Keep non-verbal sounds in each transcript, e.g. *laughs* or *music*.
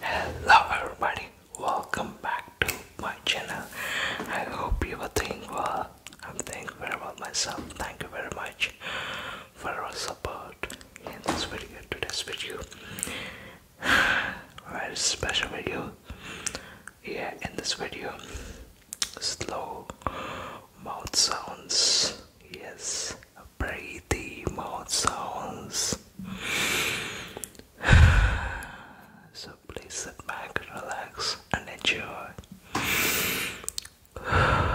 Hello everybody, welcome back to my channel. I hope you are doing well. I'm doing very well myself. Thank you very much for your support in this video, today's video. *sighs* Very special video. Yeah, in this video, slow mouth sounds. Yes, breathy mouth sounds. *sighs* So please sit back, relax, and enjoy. *laughs*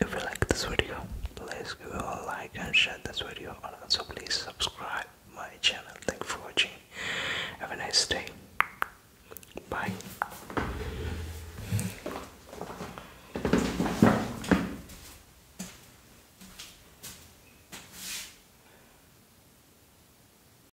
If you like this video, please give a like and share this video and also please subscribe my channel. Thank you for watching. Have a nice day. Bye.